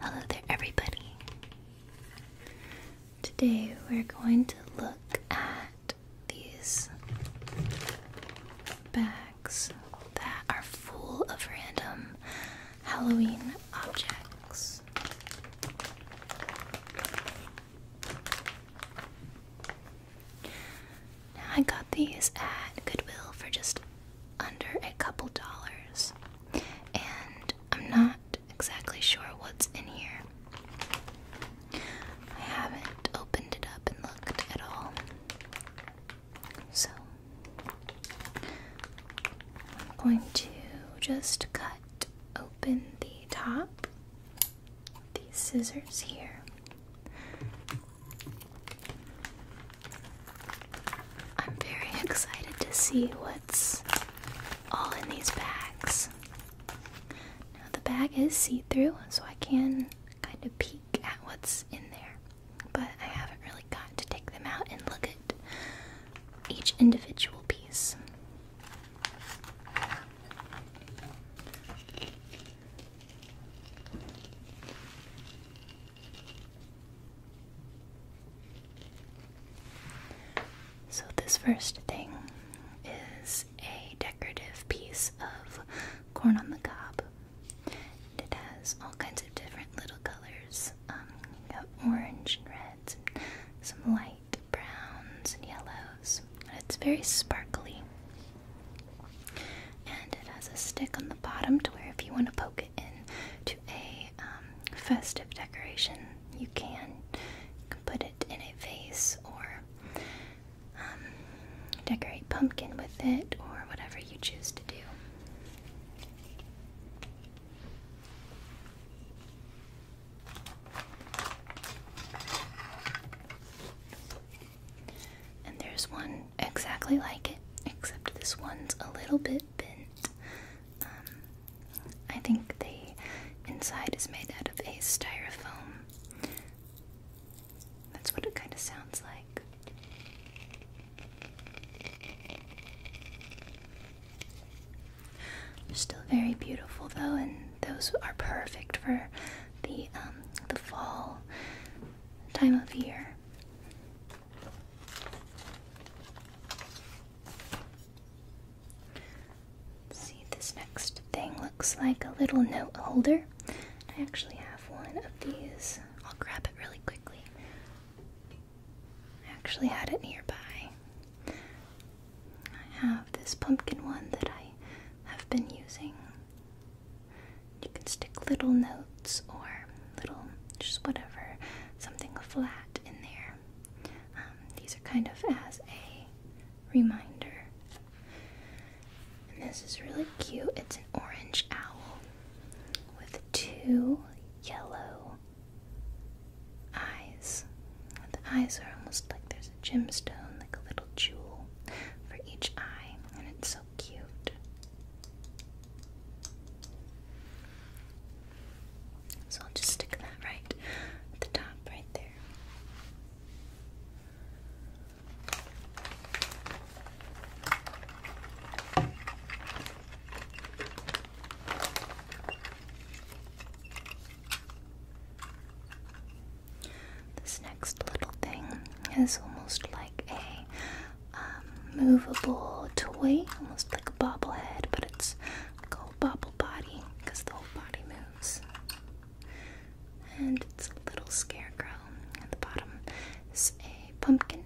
Hello there, everybody. Today we're going to look at these bags that are full of random Halloween objects. I got these at Goodwill for just under a couple dollars, and I'm not exactly sure what's in here. I haven't opened it up and looked at all. So, I'm going to just cut open the top with these scissors here. I'm very excited to see what's all in these bags. Now, the bag is see through, so I can kind of peek at what's in there, but I haven't really got to take them out and look at each individual piece. So, this first thing is a decorative piece of corn on the cob. it has all kinds of different little colors. Um, orange and reds, and some light browns and yellows. And it's very sparkly. And it has a stick on the bottom to where if you want to poke it in to a um, festive decoration, you can. put it in a vase or um, decorate pumpkin with it or whatever you choose to do. And there's one exactly like it, except this one's a little bit bent. Um, I think the inside is made out of a styrofoam. That's what it kind of sounds like. They're still very beautiful though, and those are perfect for the um, the fall time of year. see, this next thing looks like a little note holder. I actually have one of these. I'll grab it really quickly. I actually had it nearby. I have this pumpkin one that I have been using. You can stick little notes or little, just whatever, something flat in there. Um, these are kind of as a reminder. this is really cute. It's an orange owl with two yellow eyes. The eyes are almost like there's a gemstone, like a little jewel for each eye, and it's so cute. So I'll just stick that right at the top right there. This next little thing is almost like a um, movable toy, almost like a bobblehead, but it's like a whole bobble body because the whole body moves. And it's a little scarecrow. and the bottom is a pumpkin.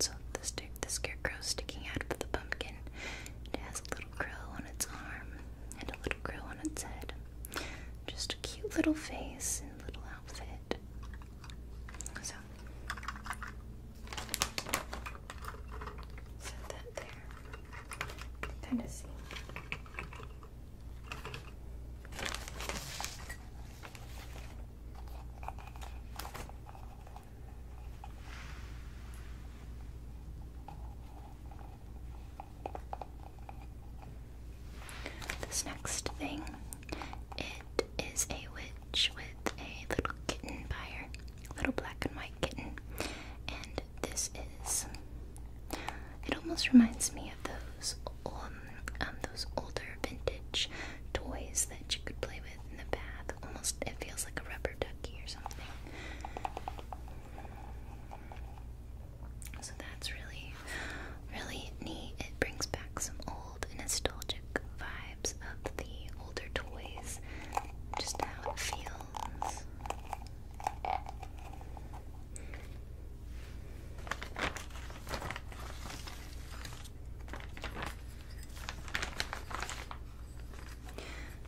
So the, st the scarecrow sticking out of the pumpkin. It has a little crow on its arm and a little crow on its head. Just a cute little face and little outfit it. So set that there. Kind of see. This next thing, it is a witch with a little kitten by little black and white kitten, and this is. It almost reminds me of those um, um those older vintage toys that you could play with in the bath. Almost, it feels like a rubber ducky or something. So that's really, really neat. It brings back some old nostalgic vibes of the older toys, just how it feels.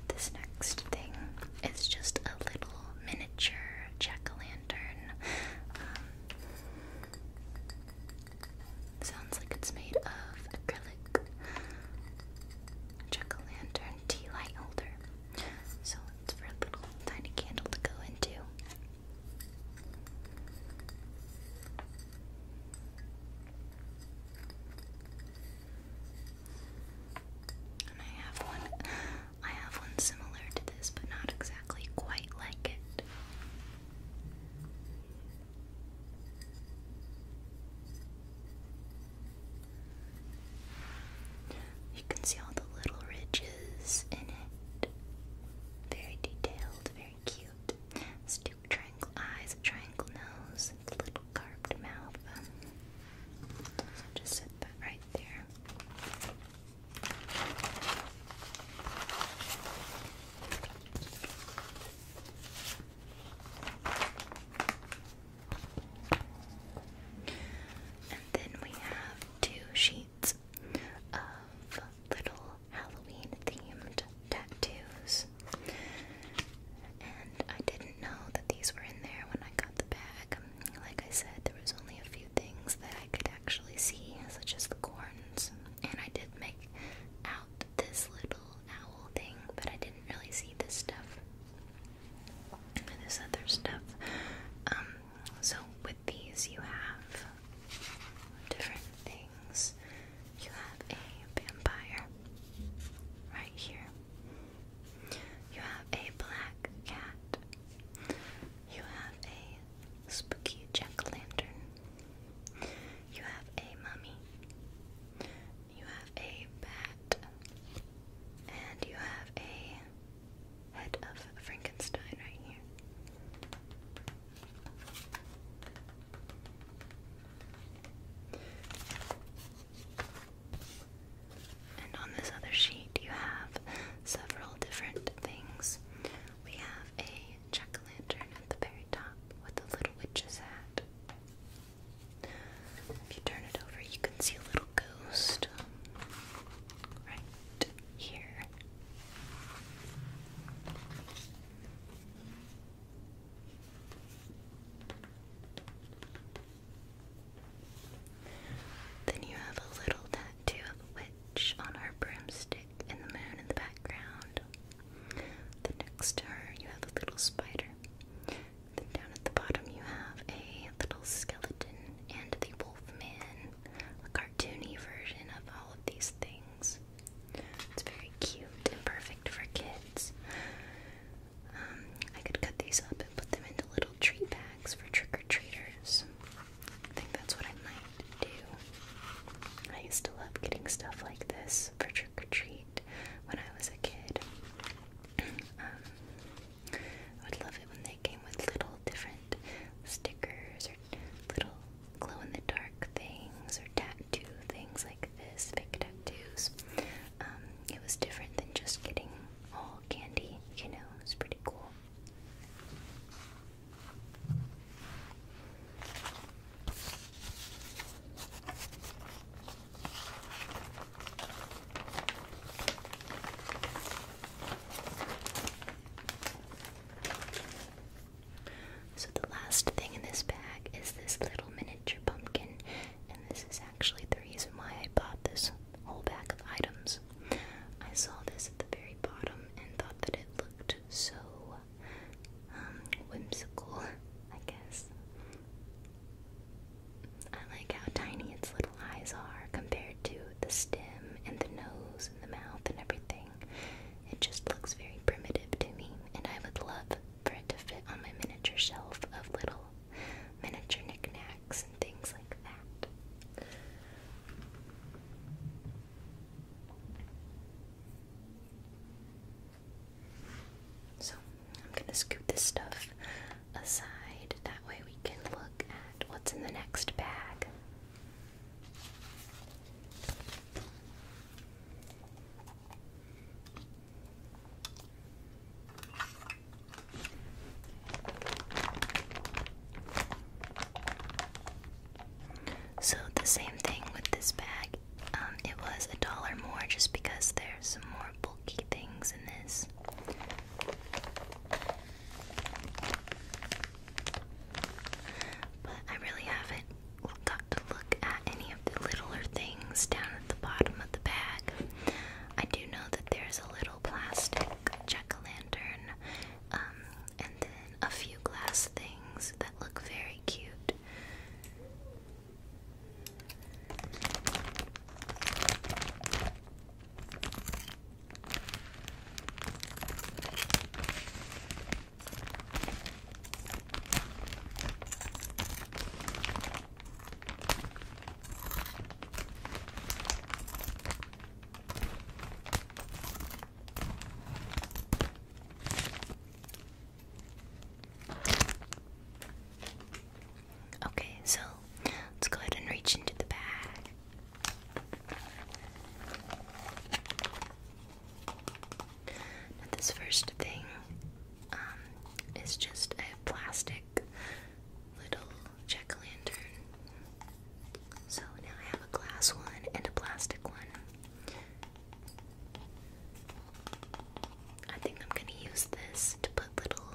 This next thing is just a little miniature jack um, sounds like it's made of acrylic. Jack lantern tea light holder. So it's for a little tiny candle to go into. And I have one I have one similar to this but not exactly exactly You can see all the little ridges in it. Very detailed, very cute. Stoop triangle eyes, triangle nose, little carved mouth. Um, just right there. And then we have two sheets of little Halloween themed tattoos. And I didn't know that these were in there when I got the bag. Like I said, there was only a few few things that I could actually see, such as the corns, and I did make out this little owl thing, but I didn't really see this stuff. And this other stuff. Um, so with these, you have different things. You have a vampire right here. You have a black cat. You have a Spooky jack-lantern. o' You have a mummy. You have a bat. And you have a head of Frankenstein right here. And on this other sheet, you have several different things. We have a giant jack lantern at the very top with a little witch's hat. If you turn it over, you can see a little ghost um, right here. Then you have a little to the witch on her broomstick and the moon in the background. The next to her you have a little spider. Then down at the bottom you have a little skeleton and the wolfman, a cartoony version of all of these things. It's very cute and perfect for kids. Um, I could cut these up and put them into little tree bags for trick-or-treaters. I think that's what I might do. I used to love getting stuff like this for trick or treat when I was a kid. Um, I would love it when they came with little different stickers or little glow in the dark things or tattoo things like this, fake tattoos. Um, it was different than just getting all candy, you know, it was pretty cool. So, the last thing in this bag is this little miniature pumpkin, and this is actually the reason why I bought this whole bag of items. I saw this at the very bottom and thought that it looked so um, whimsical, I guess. I like how tiny its little eyes are compared to the stem and the nose and the mouth and everything. It just looks very primitive to me, and I would love for it to fit on my miniature shelf of little miniature knickknacks and things like that. So, I'm going to scoot this stuff aside. That way, we can look at what's in the next bag. So the same thing with this bag. Um, it was a dollar more just because there's some more bulky things in this. But I really haven't got to look at any of the littler things down at the bottom of the bag. I do know that there's a little plastic jack o' lantern um, and then a few glass things that look very cute. Okay, so let's go ahead and reach into the bag. this first thing um, is just a plastic little jack-o'-lantern. So now I have a glass one and a plastic one. I think I'm gonna use this to put little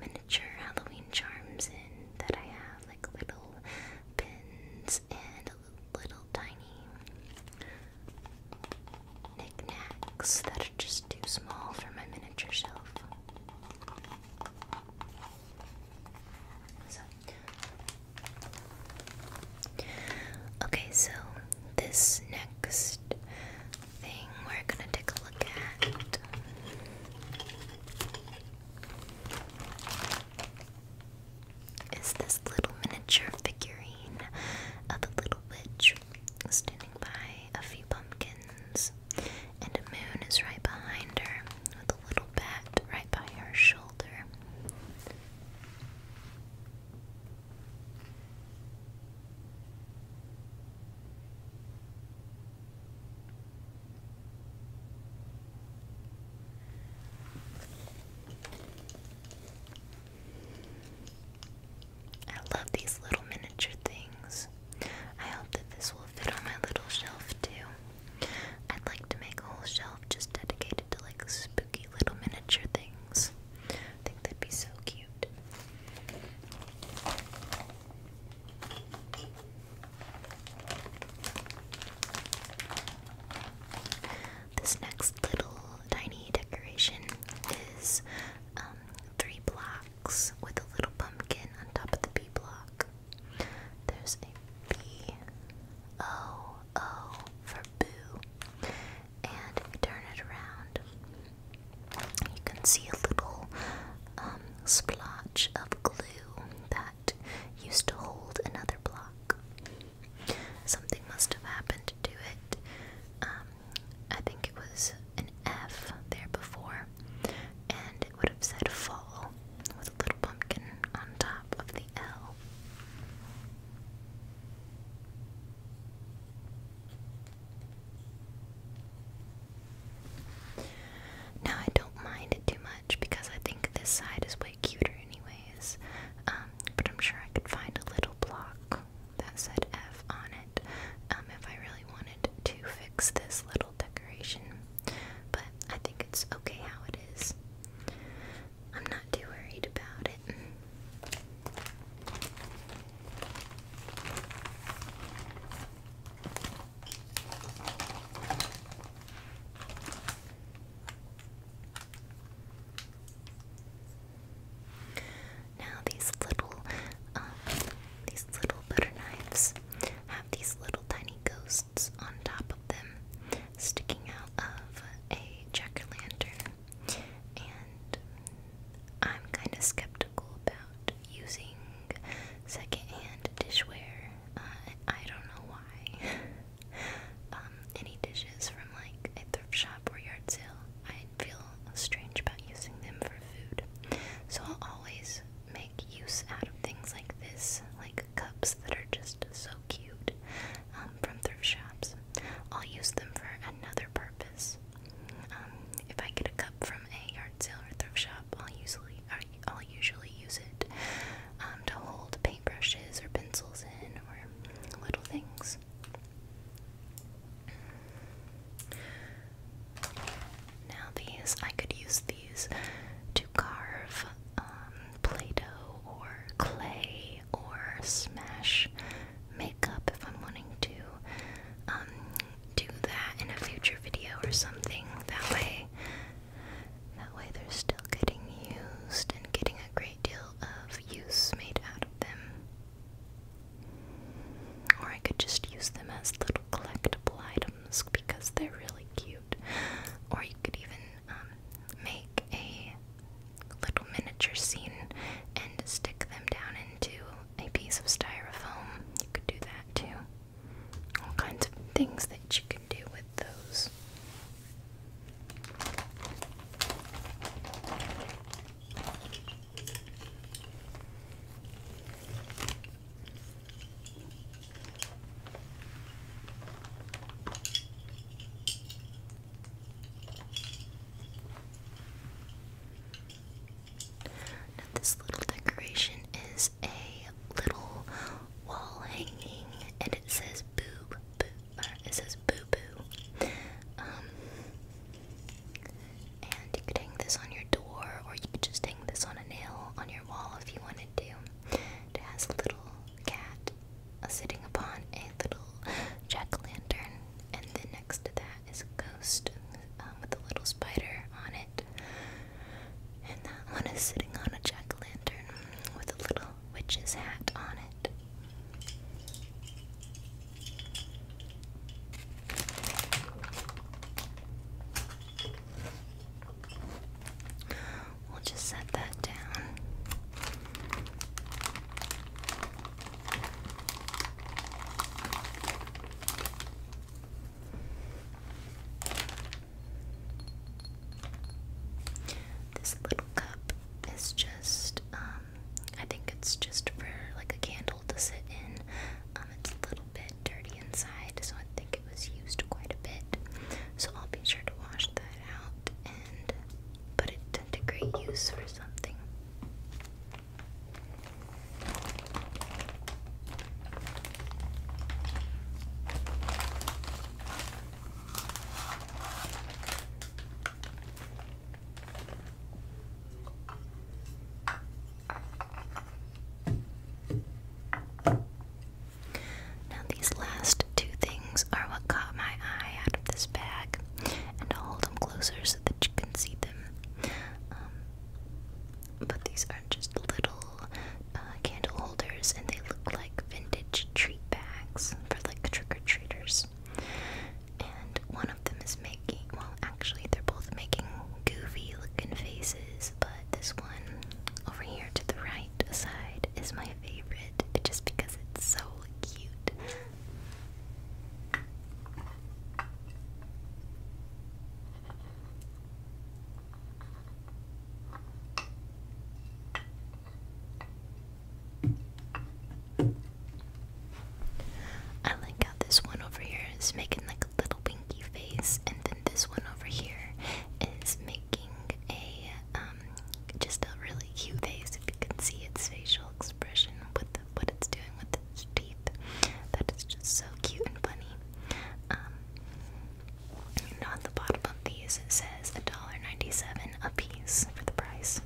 miniature Halloween charms in that I have, like little pins and little tiny knickknacks that are just too small for my miniature shelf. So Okay, so this next thing we're gonna take a look at. Is this little miniature figurine of a little witch standing by a few pumpkins, and a moon is right behind her the little bat right by her shoulder. I love these little miniature things. I hope that this will fit on my little shelf too. I'd like to make a whole shelf just dedicated to like spooky little miniature things. I think they would be so cute. This next little tiny decoration is um, three blocks with a little pumpkin on top of the B block. There's a B, O, O for boo. And turn it around, you can see a little um, splotch of glue that used to hold another block. Something must have happened to it. Um, I think it was an F there before, and it would have said fall with a little pumpkin on top of the L. Now I don't mind it too much because I think this side is way cuter anyways. Um, but I'm sure I could find a little block that said F on it um, if I really wanted to fix this little decoration. But I think it's okay how it is. I'm not too worried about it. Now these little, um, these little butter knives have these little tiny ghosts on top them sticking out of a jack o' lantern, and I'm kind of skeptical about using secondhand dishware. Uh, I don't know why. um, any dishes from like a thrift shop or yard sale, I feel strange about using them for food. So I'll always make use out of things like this, like cups that are just so cute um, from thrift shops. I'll use them for another purpose. Um, if I get a cup from a yard sale or thrift shop, I'll usually I'll usually use it um, to hold paintbrushes or pencils in or little things. Now these I could use these to carve um, Play Doh or clay or smash makeup if I'm wanting to um, do that in a future video or something. That way, that way they're still getting used and getting a great deal of use made out of them. Or I could just use them as little collectible items because they're really cute. Or you could even um, make a little miniature scene and stick them down into a piece of styrofoam. You could do that too. All kinds of things that you can do with those. Now, this little decoration is a little wall hanging, and it says boob, boo, or uh, it says boo boo. Um, and you could hang this on your door, or you could just hang this on a nail on your wall if you wanted to. It has a little cat sitting upon a little jack-o'-lantern, and then next to that is a ghost um, with a little spider on it. And that one is sitting on a jack-o'-lantern with a little witch's hat on it. We'll just set that down. This little cup is just, um, I think it's just for like a candle to sit in. Um, it's a little bit dirty inside, so I think it was used quite a bit. So I'll be sure to wash that out put it to great use for something. Now, these last two things are what caught my eye out of this bag, and I'll hold them closer so that you can see them. Um, but these are just little uh, candle holders, and they look like vintage treat bags for like trick or treaters. And one of them is making, well, actually, they're both making goofy looking faces, but this one over here to the right side is my favorite just because it's so cute. I like how this one over here is making like a little winky face, and then this one over here is making a um just a really cute face if you can see its facial expression with what it's doing with its teeth. That is just so cute and funny. Um, on the bottom of these it says $1.97 a piece for the price.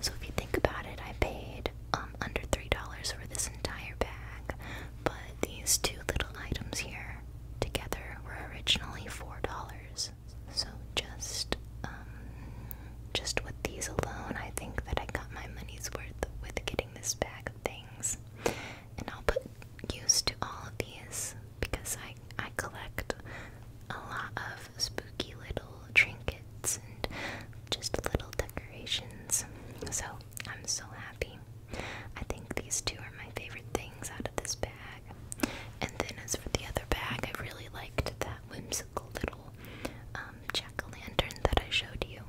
So if you think about it, I paid um, under $3 for this entire bag, but these two little items here together were originally $4. So just um, just with these alone, I think that I got my money's worth with getting this bag of things. And I'll put use to all of these because I I collect a lot of spooky little trinkets and just little decorations. So I'm so happy. I think these two are my favorite things out of this bag. And then as for the other bag, I really liked that whimsical little um, jack o' lantern that I showed you.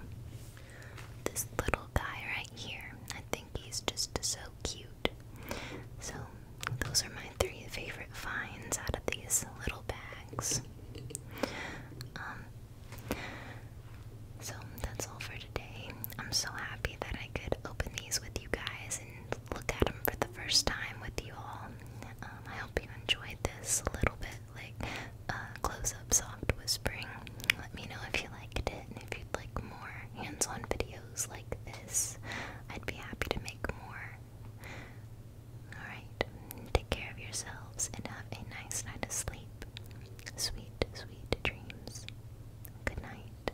This little guy right here, I think he's just so cute. So, those are my three favorite finds out of these little bags. Um, so, that's all for today. I'm so happy that I could open these with you guys look at them for the first time with you all. Um, I hope you enjoyed this a little bit, like uh, close up soft whispering. Let me know if you liked it and if you'd like more hands on videos like this. I'd be happy to make more. Alright, take care of yourselves and have a nice night of sleep. Sweet, sweet dreams. Good night.